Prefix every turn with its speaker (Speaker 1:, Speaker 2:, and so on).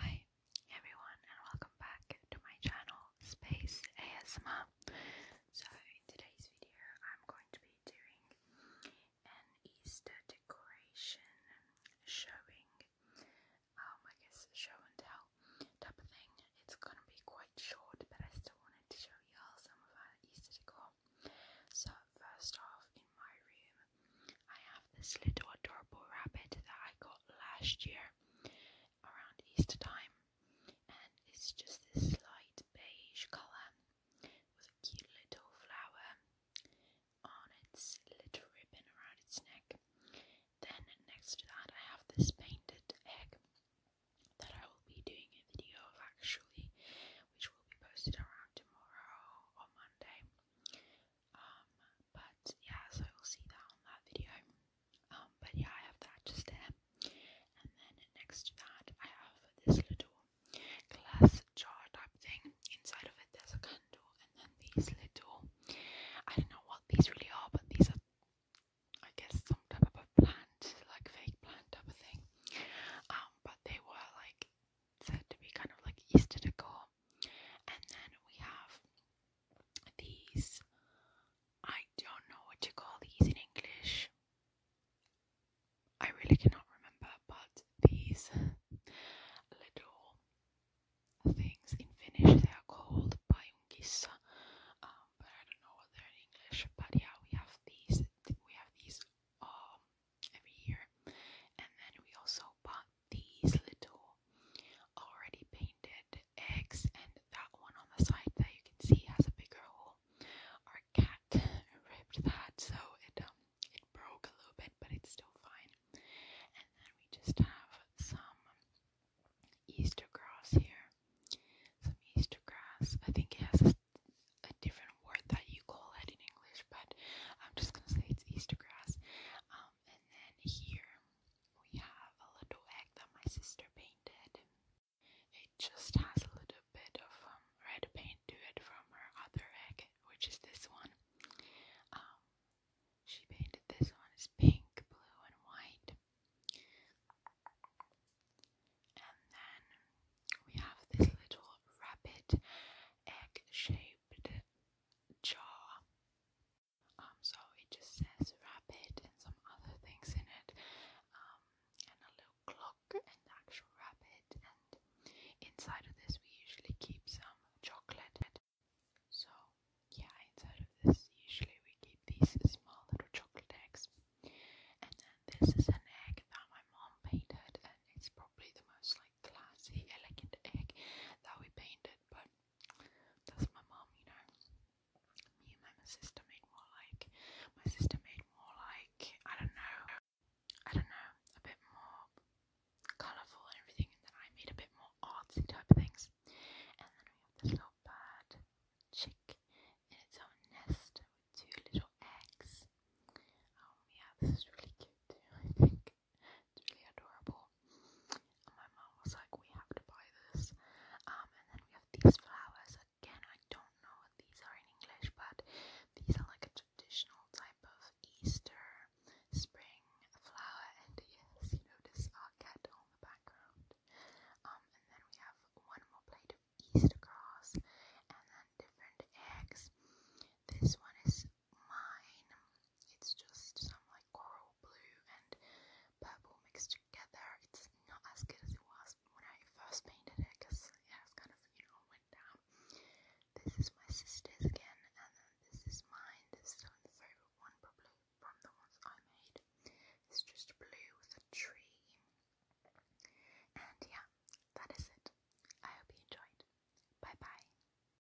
Speaker 1: Hi everyone and welcome back to my channel Space ASMR. So in today's video I'm going to be doing an Easter decoration showing, um, I guess show and tell type of thing. It's gonna be quite short but I still wanted to show y'all some of our Easter decor. So first off in my room I have this little adorable rabbit that I got last year around Easter time, and it's just this light beige colour with a cute little flower on its little ribbon around its neck. Then, next to that, I have this painted egg that I will be doing a video of actually, which will be posted around tomorrow or Monday. Um, but yeah, so you'll see that on that video. Um, but yeah, I have that just there. And then next to that, I have this little glass jar type thing. Inside of it, there's a candle, and then these little I don't know what these really are, but these are, I guess, some type of a plant, like fake plant type of thing. Um, but they were like said to be kind of like Easter decor for. And then we have these. I don't know what to call these in English. I really cannot remember, but these little things in Finnish they are called pajungissa, um, but I don't know what they're in English. But yeah, we have these. We have these um, every year, and then we also bought got these little already painted eggs, and that one on the side that you can see has a bigger hole. Our cat ripped that, so it um it broke a little bit, but it's still fine. And then we just have some Easter grass here, some Easter grass. I think it has a, a different word that you call it in English, but I'm just gonna say it's Easter grass. Um, um, and then here we have a little egg that my sister painted. It just has a little bit of um, red paint to it from her other egg, which is this one. Um, she painted this one as pink, blue, and white. And then we have this little rabbit egg shape shaped jar. Um, so it just says rabbit and some other things in it, um, and a little clock and the actual rabbit. And inside of this, we usually keep some chocolate. So, yeah, inside of this, usually we keep these small little chocolate eggs. And then this is an egg that my mom painted, and it's probably the most like like elegant egg that we painted, but that's my mom, you know. Me and my sister made more like my sister made more like I don't know, I don't know, a bit more colourful and everything, and then I made a bit more artsy type of things. And then we have this little bird chick in its own nest two little eggs. Um, yeah, this is really cute too, I think. It's really adorable. And my mum was like, we have to buy this. Um, and then we have these flowers. Again, I don't know what these are in English, but these are like a traditional type of Easter spring flower. And yes, you notice our cat on the background. Um, and then we have one more plate of Easter grass and then different eggs. This one is mine. It's just some like coral blue and purple mixed together. It's not as good as it was when I first painted it because it has kind of, you know, went down. This is my sister's again, and then this is mine. This is the favourite one probably from the ones I made. It's just blue with a tree. And yeah, that is it. I hope you enjoyed. Bye bye.